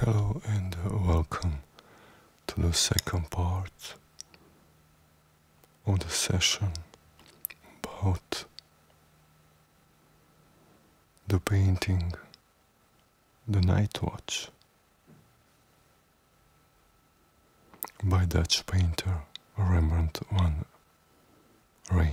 Hello and welcome to the second part of the session about the painting The Night Watch by Dutch painter Rembrandt one rain.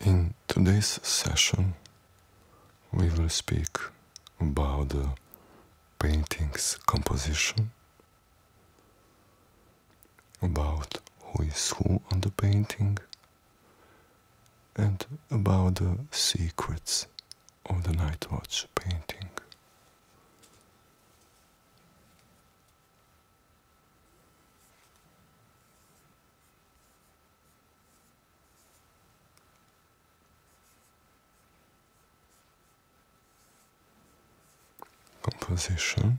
In today's session, we will speak about the painting's composition, about who is who on the painting and about the secrets of the Night Watch painting. Composition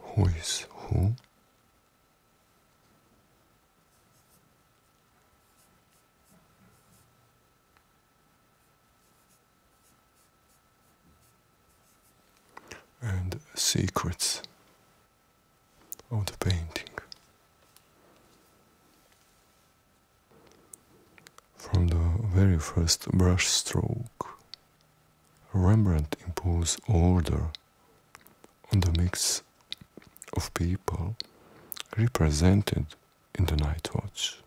who is who? And secrets of the painting. From the very first brushstroke, Rembrandt imposed order on the mix of people represented in the night watch.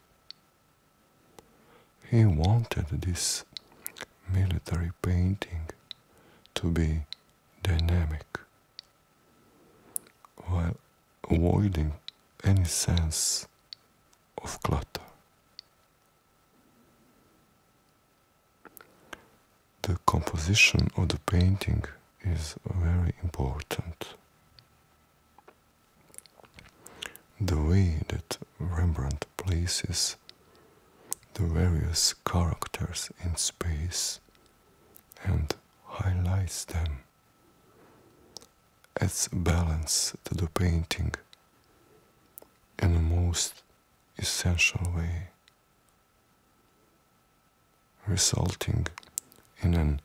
He wanted this military painting to be dynamic while avoiding any sense of clutter. The composition of the painting is very important. The way that Rembrandt places the various characters in space and highlights them. Adds balance to the painting in the most essential way, resulting in an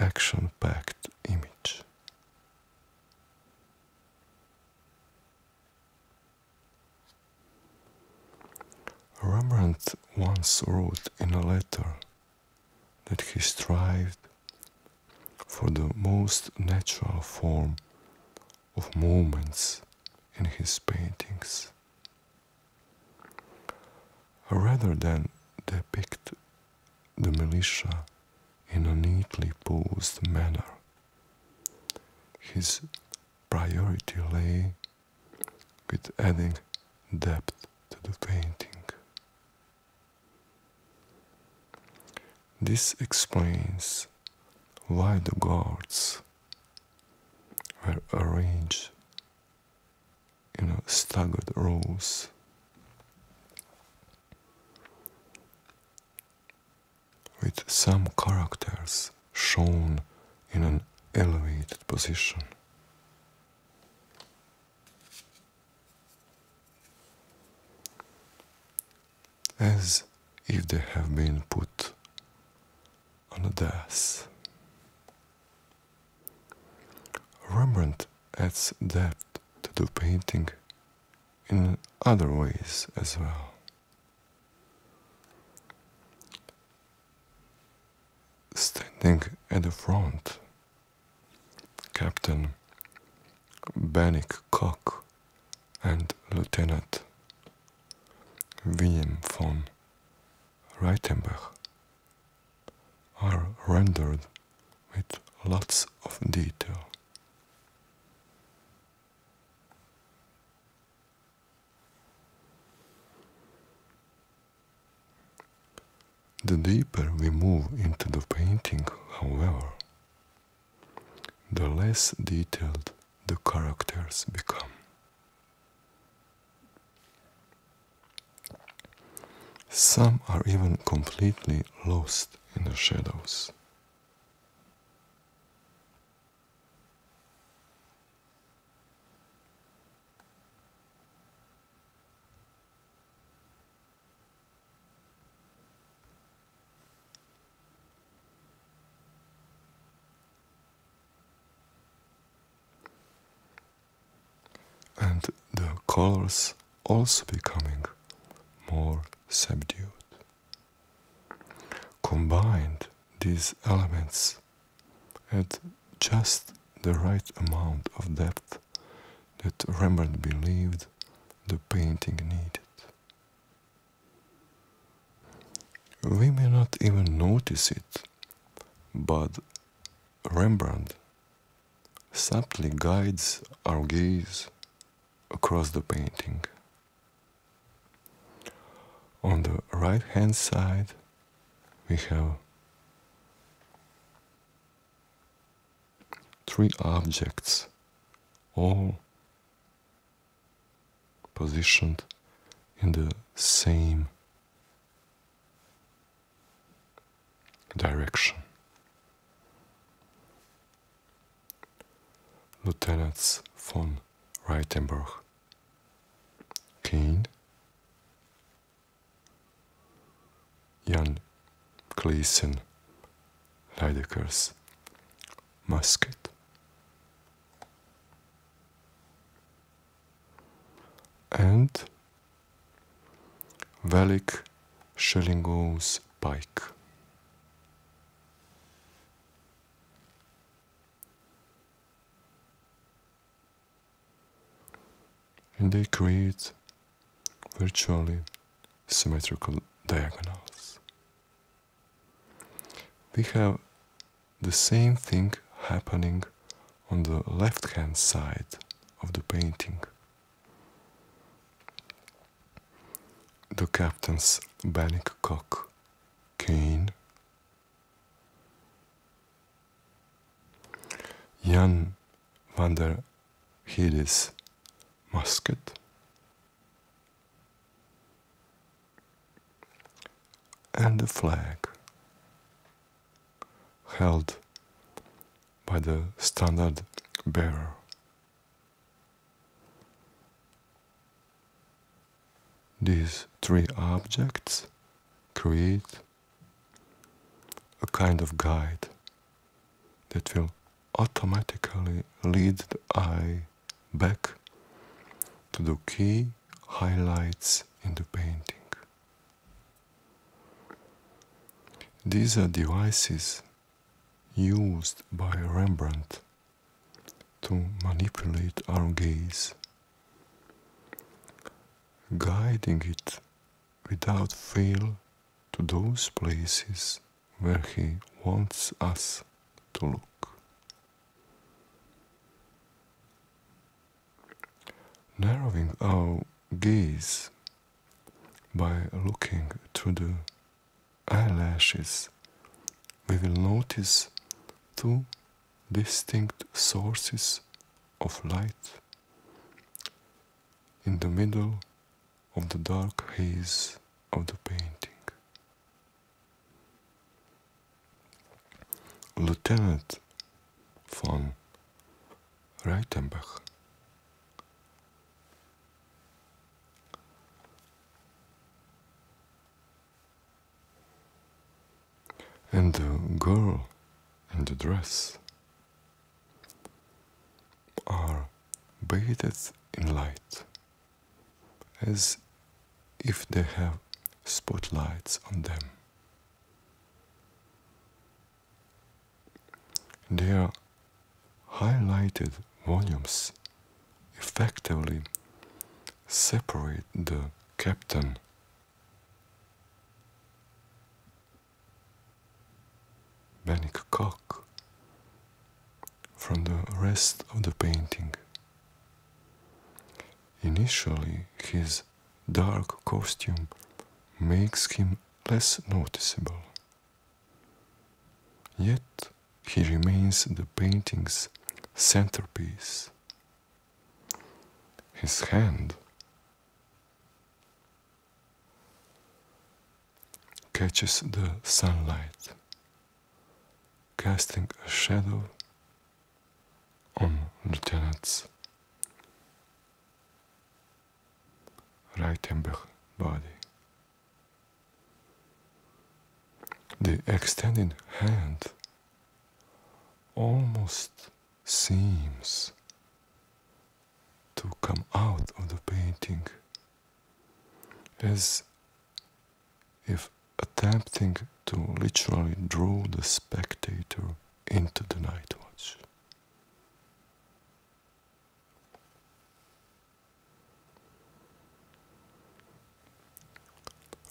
action packed image. Rembrandt once wrote in a letter that he strived for the most natural form of movements in his paintings, rather than depict the militia in a neatly posed manner. His priority lay with adding depth to the painting. This explains why the guards were arranged in a staggered rows. With some characters shown in an elevated position. As if they have been put on a dais. Rembrandt adds depth to the painting in other ways as well. Standing at the front, Captain Bannock Cock and Lieutenant William von Reitenbach are rendered with lots of detail. The deeper we move into the painting, however, the less detailed the characters become. Some are even completely lost in the shadows and the colors also becoming more subdued. Combined, these elements at just the right amount of depth that Rembrandt believed the painting needed. We may not even notice it, but Rembrandt subtly guides our gaze across the painting. On the right hand side, we have three objects all positioned in the same direction. Lieutenants von Reitenberg Kane, Jan Cleason, Lidekers, Musket. And Valik, Schellinghouse Pike and they create virtually symmetrical diagonals. We have the same thing happening on the left hand side of the painting. The captain's bannock cock cane Jan van der Hede's musket. And the flag held by the standard bearer. These three objects create a kind of guide that will automatically lead the eye back to the key highlights in the painting. These are devices used by Rembrandt to manipulate our gaze guiding it without fail to those places where He wants us to look. Narrowing our gaze by looking through the eyelashes, we will notice two distinct sources of light. In the middle of the dark haze of the painting. Lieutenant von Reitenbach and the girl in the dress are bathed in light as if they have spotlights on them. Their highlighted volumes effectively separate the captain Koch, from the rest of the painting. Initially, his dark costume makes him less noticeable. Yet he remains the painting's centerpiece his hand catches the sunlight, casting a shadow on Lieutenant's right amber body. The extended hand almost seems to come out of the painting as if attempting to literally draw the spectator into the night watch.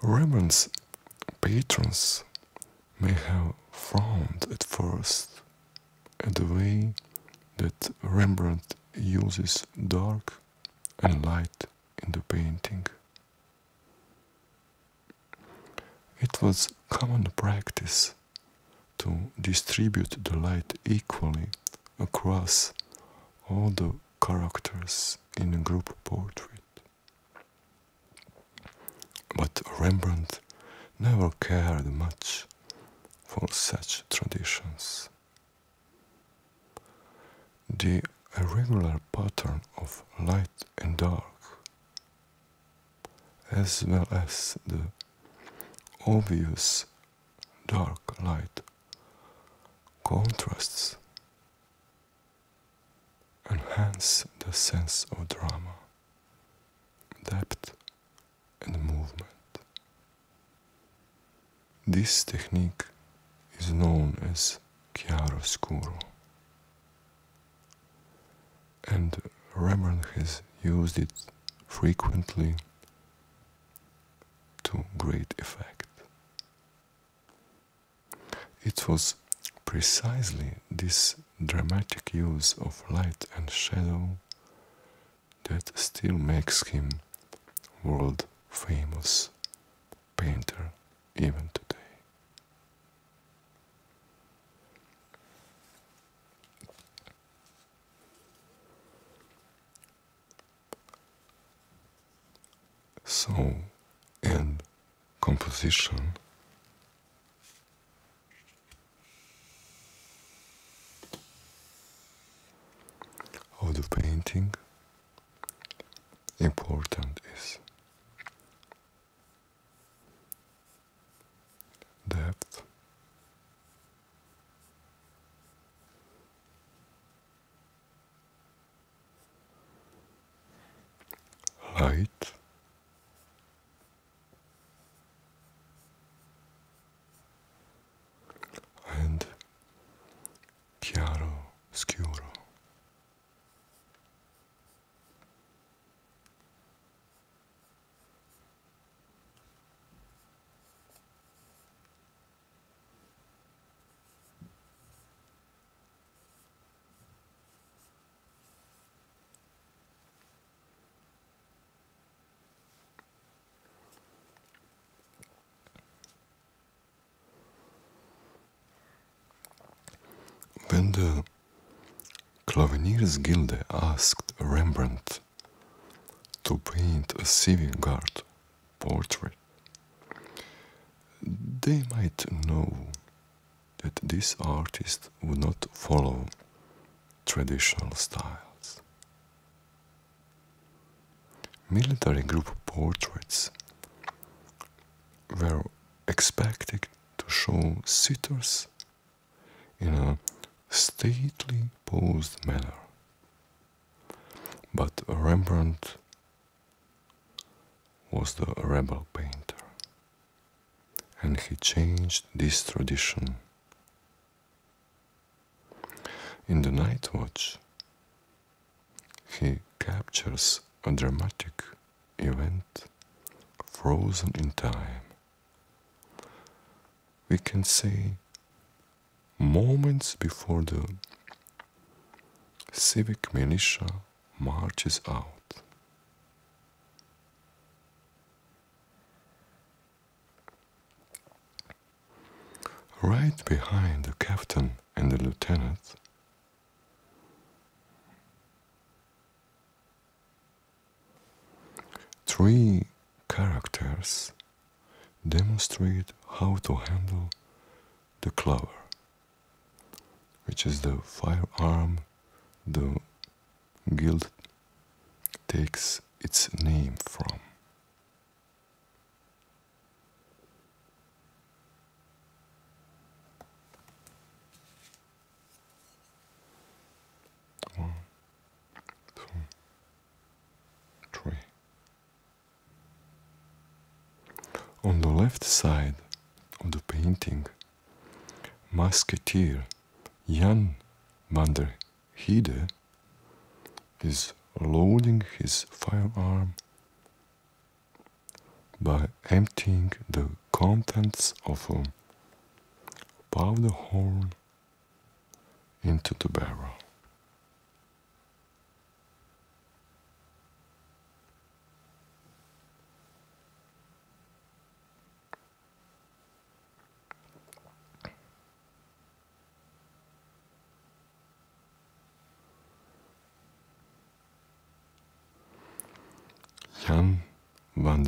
Rembrandt's patrons may have frowned at first at the way that Rembrandt uses dark and light in the painting. It was common practice to distribute the light equally across all the characters in a group portrait. But Rembrandt never cared much for such traditions. The irregular pattern of light and dark, as well as the obvious dark light contrasts enhance the sense of drama, depth, and movement. This technique is known as chiaroscuro, and Rembrandt has used it frequently to great effect. It was precisely this dramatic use of light and shadow that still makes him world famous painter even today. So, and composition. Of the painting, important is depth light. And chiaro scuro. When the Claveniers Guild asked Rembrandt to paint a civil guard portrait, they might know that this artist would not follow traditional styles. Military group portraits were expected to show sitters in a stately posed manner. But Rembrandt was the rebel painter, and he changed this tradition. In the Night Watch, he captures a dramatic event frozen in time. We can see moments before the civic militia marches out. Right behind the captain and the lieutenant, three characters demonstrate how to handle the clover which is the firearm the guild takes its name from. One, two, three. On the left side of the painting, musketeer Jan van der Heide is loading his firearm by emptying the contents of a powder horn into the barrel. Jan van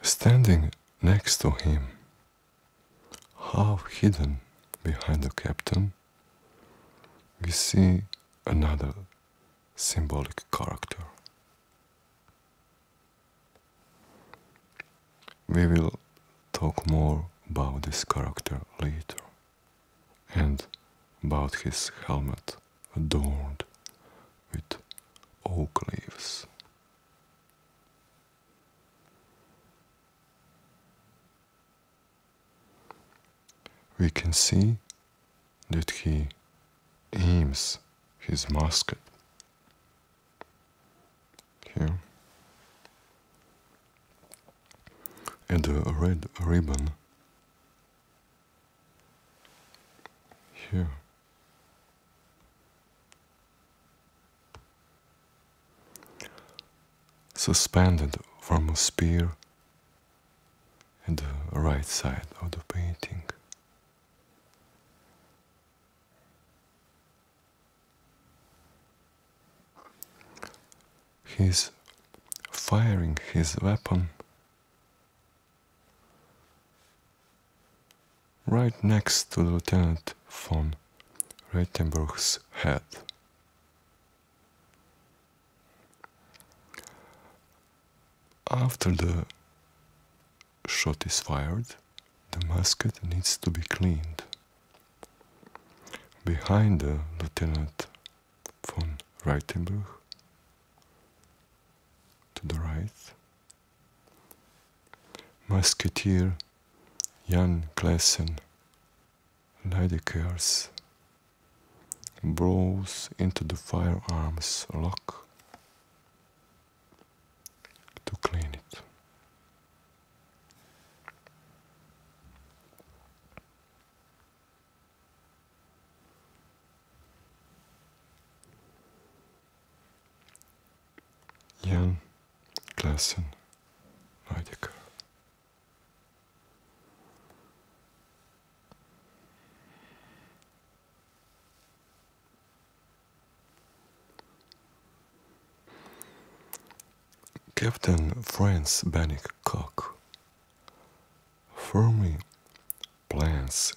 Standing next to him, half hidden behind the captain, we see another symbolic character. We will talk more about this character later and about his helmet adorned with oak leaves. We can see that he aims his musket here and a red ribbon here. Suspended from a spear at the right side of the painting. He's firing his weapon right next to Lieutenant von Reitenberg's head. After the shot is fired, the musket needs to be cleaned. Behind the Lieutenant von Reitenberg, to the right, Musketeer Jan Klaassen, Lydekkers, blows into the firearms lock to clean it. Jan Klassen Neudecker. Captain Franz Bannick-Cock firmly plans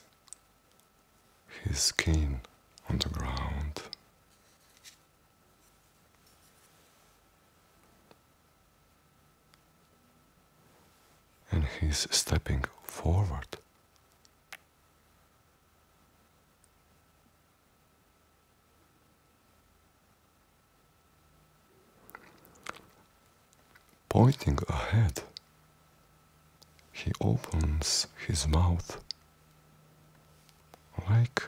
his skin on the ground. And he's stepping forward. Pointing ahead he opens his mouth like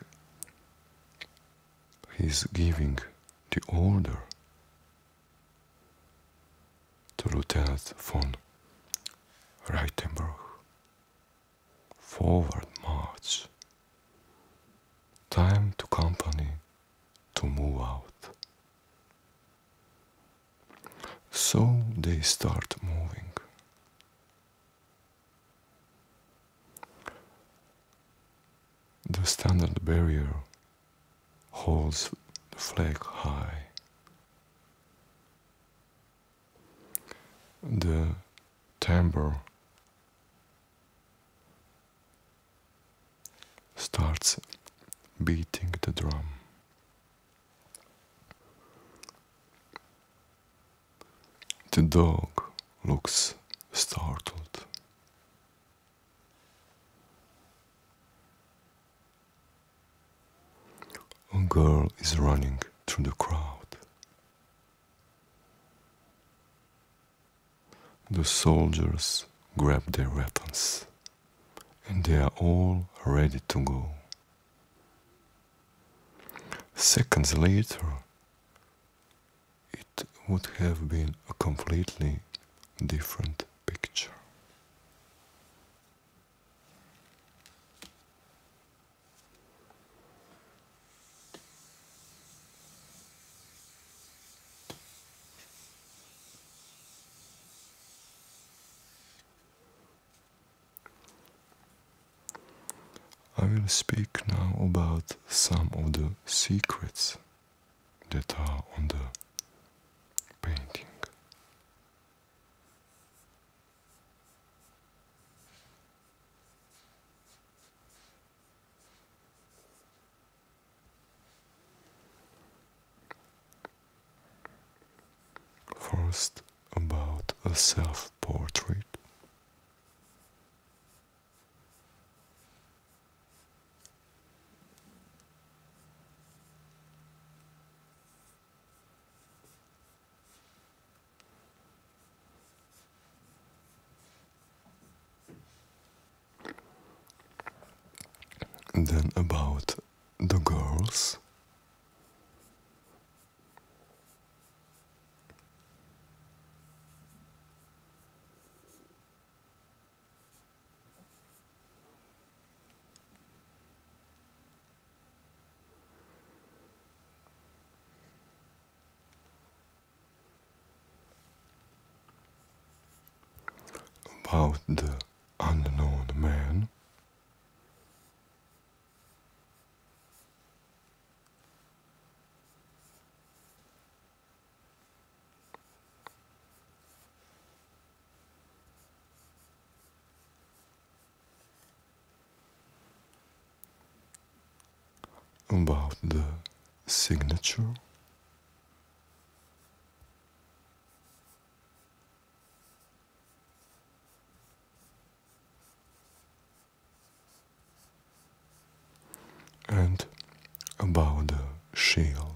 he's giving the order to Lieutenant von Reitenberg. Forward march. Time to company to move out. So they start moving. The standard barrier holds the flag high. The tambour starts beating the drum. The dog looks startled. A girl is running through the crowd. The soldiers grab their weapons and they are all ready to go. Seconds later, it would have been a completely different picture. I will speak now about some of the secrets that are on the painting. First, about a self portrait. then about the girls about the unknown man about the signature and about the shield.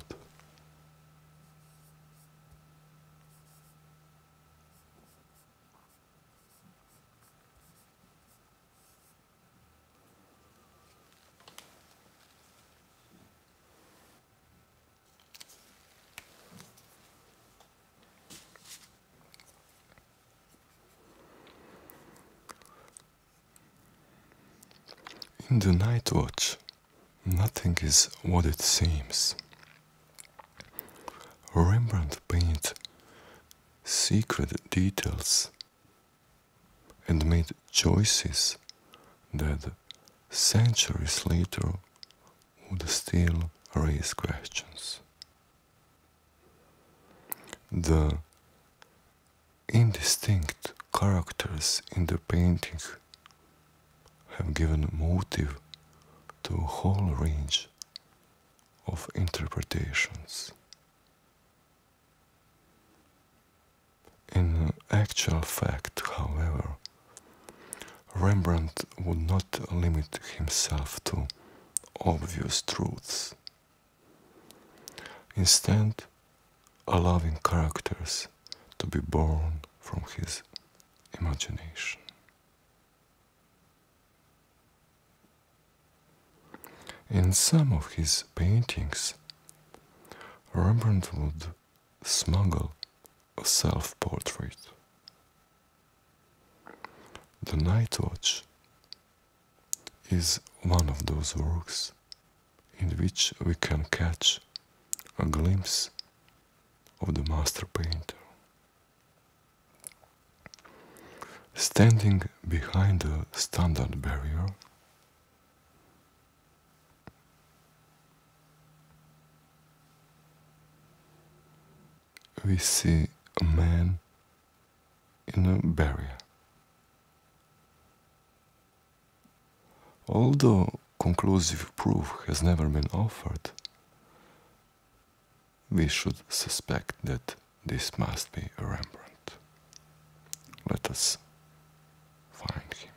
In the night watch, nothing is what it seems. Rembrandt painted secret details and made choices that centuries later would still raise questions. The indistinct characters in the painting have given motive to a whole range of interpretations. In actual fact, however, Rembrandt would not limit himself to obvious truths. Instead, allowing characters to be born from his imagination. In some of his paintings, Rembrandt would smuggle a self portrait. The Night Watch is one of those works in which we can catch a glimpse of the master painter. Standing behind the standard barrier, we see a man in a barrier. Although conclusive proof has never been offered, we should suspect that this must be Rembrandt. Let us find him.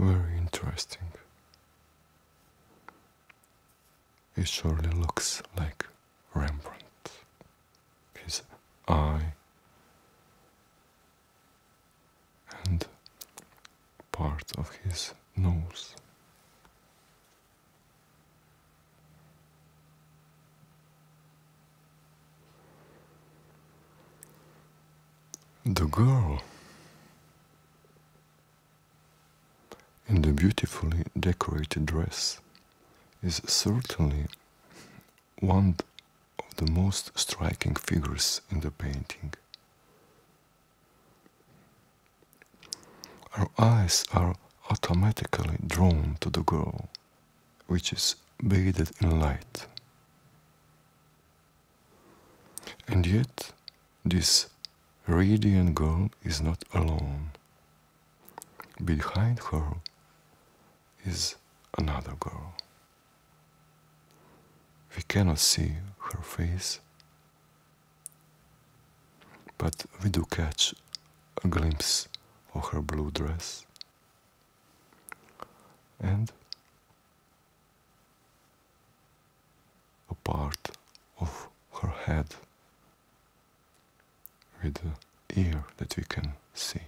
Very interesting. He surely looks like Rembrandt. His eye and part of his nose. The girl in the beautifully decorated dress is certainly one of the most striking figures in the painting. Our eyes are automatically drawn to the girl, which is bathed in light. And yet, this radiant girl is not alone. Behind her is another girl. We cannot see her face, but we do catch a glimpse of her blue dress and a part of her head with the ear that we can see.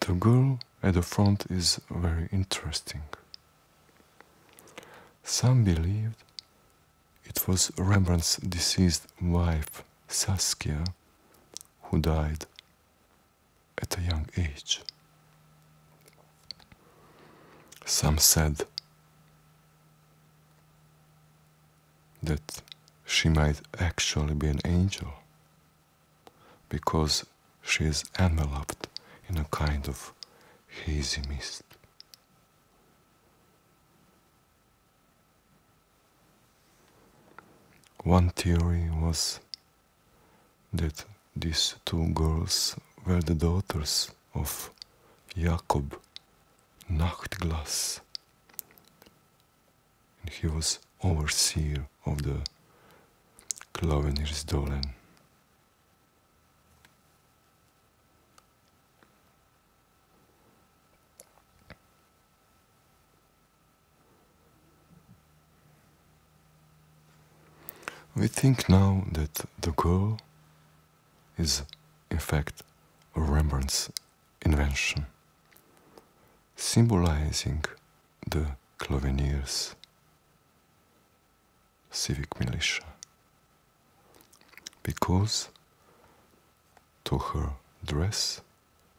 The girl at the front is very interesting. Some believed it was Rembrandt's deceased wife, Saskia, who died at a young age. Some said that she might actually be an angel because she is enveloped in a kind of hazy mist. One theory was that these two girls were the daughters of Jacob Nachtglas, and he was overseer of the Klavenir's Dolan. We think now that the goal is, in fact, a Rembrandt's invention, symbolizing the Clovenier's civic militia because to her dress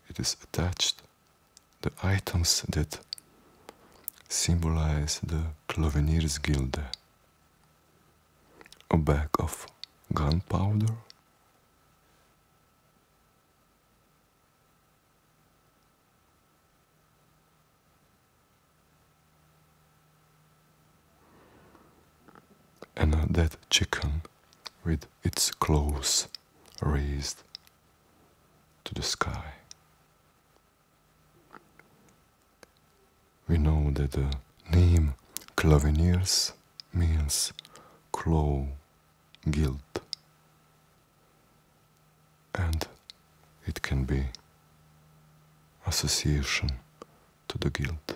it is attached the items that symbolize the Clovenir's Guild: a bag of gunpowder and a dead chicken with its claws raised to the sky. We know that the name Claviniers means claw guilt, and it can be association to the guilt.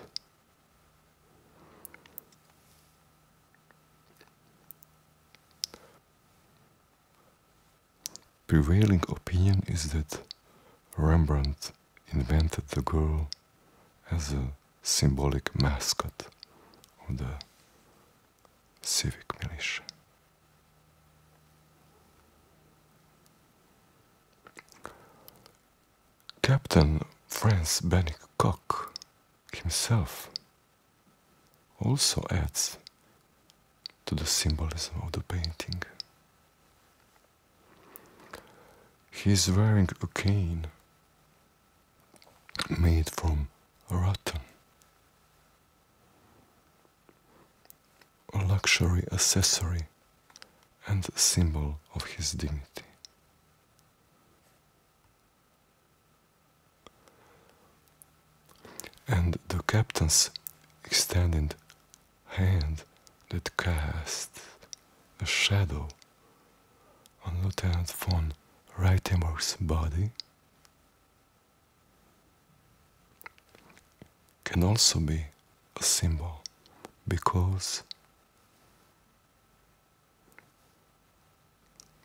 Prevailing opinion is that Rembrandt invented the girl as a symbolic mascot of the civic militia. Captain Franz Bennick-Koch himself also adds to the symbolism of the painting. He is wearing a cane made from rattan, a luxury accessory and a symbol of his dignity. And the captain's extended hand that cast a shadow on Lieutenant von Reitimer's body can also be a symbol because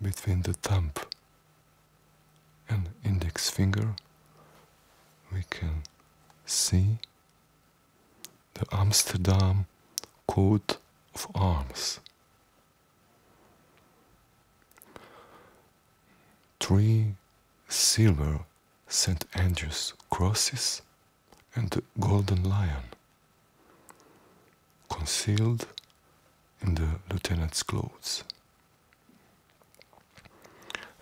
between the thumb and index finger we can see the Amsterdam coat of arms. Three silver St. Andrew's crosses and the golden lion concealed in the lieutenant's clothes.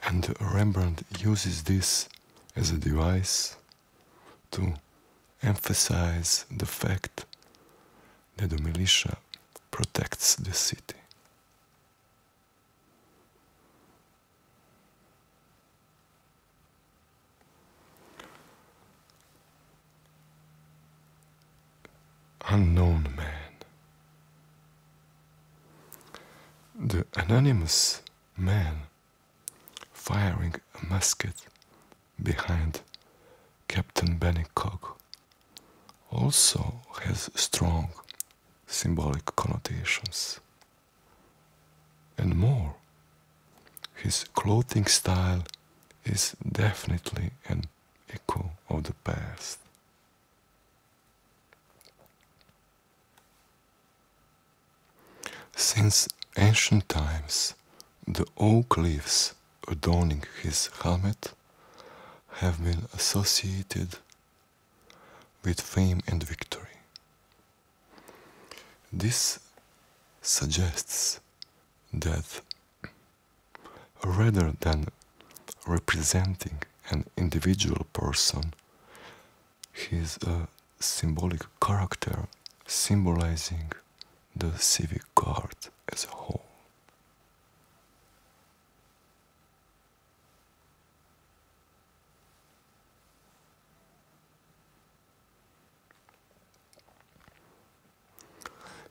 And Rembrandt uses this as a device to emphasize the fact that the militia protects the city. Unknown man. The anonymous man firing a musket behind Captain Bennycock also has strong symbolic connotations. And more, his clothing style is definitely an echo of the past. Since ancient times, the oak leaves adorning his helmet have been associated with fame and victory. This suggests that rather than representing an individual person, he's a uh, symbolic character symbolizing the civic guard as a whole.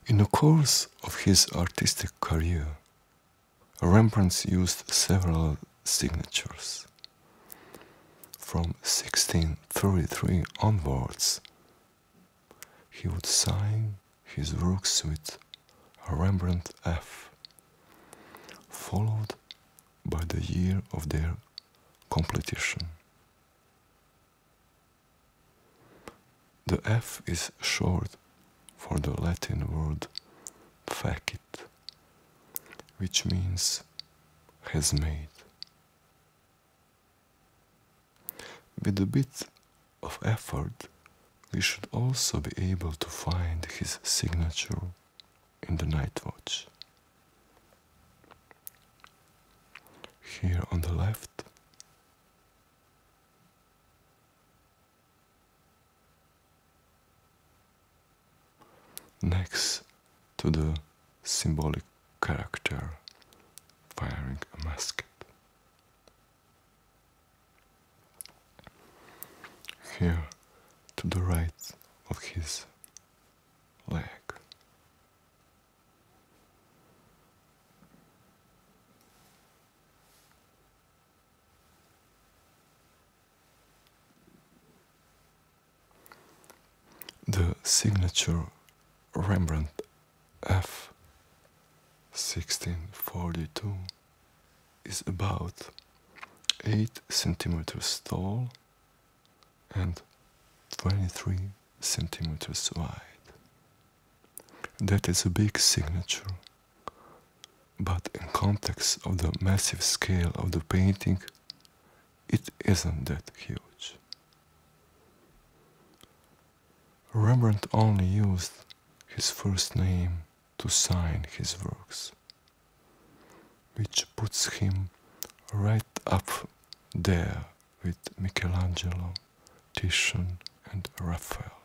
In the course of his artistic career, Rembrandt used several signatures. From 1633 onwards, he would sign his works with Rembrandt F, followed by the year of their completion. The F is short for the Latin word facit, which means has made. With a bit of effort, we should also be able to find his signature in the night watch. Here on the left, next to the symbolic character firing a musket. Here to the right of his leg. The signature Rembrandt F 1642 is about 8 centimeters tall and 23 centimeters wide. That is a big signature, but in context of the massive scale of the painting, it isn't that huge. Rembrandt only used his first name to sign his works which puts him right up there with Michelangelo, Titian, and Raphael.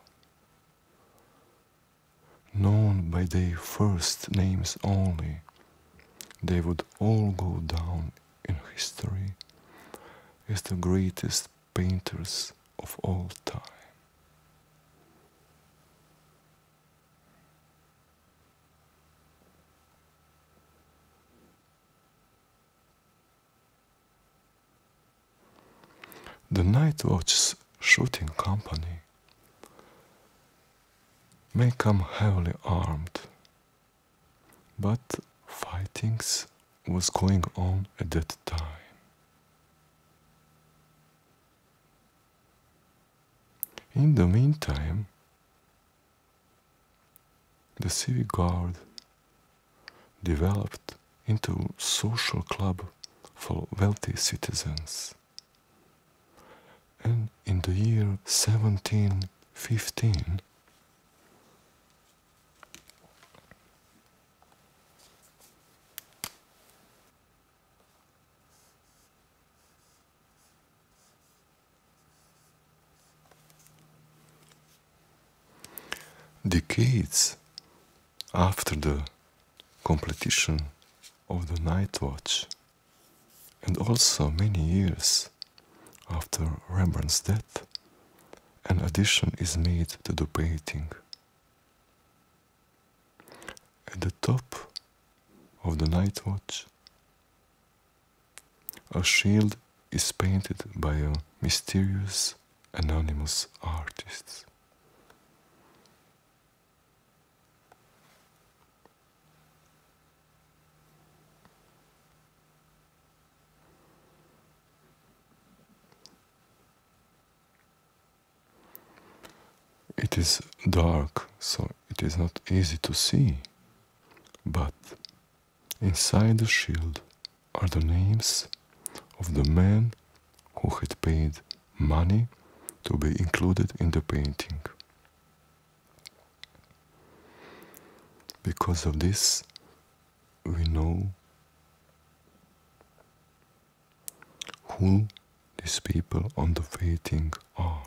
Known by their first names only, they would all go down in history as the greatest painters of all time. The Night Watch's shooting company may come heavily armed, but fightings was going on at that time. In the meantime, the Civic Guard developed into social club for wealthy citizens. And in the year 1715, Decades after the completion of the Night Watch, and also many years after Rembrandt's death, an addition is made to the painting. At the top of the night watch, a shield is painted by a mysterious anonymous artist. It is dark, so it is not easy to see but inside the shield are the names of the men who had paid money to be included in the painting. Because of this, we know who these people on the painting are.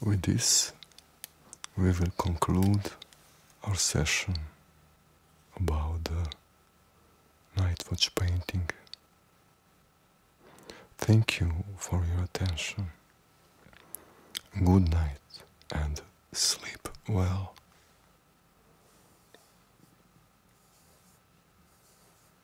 With this, we will conclude our session about the night watch painting. Thank you for your attention. Good night and sleep well.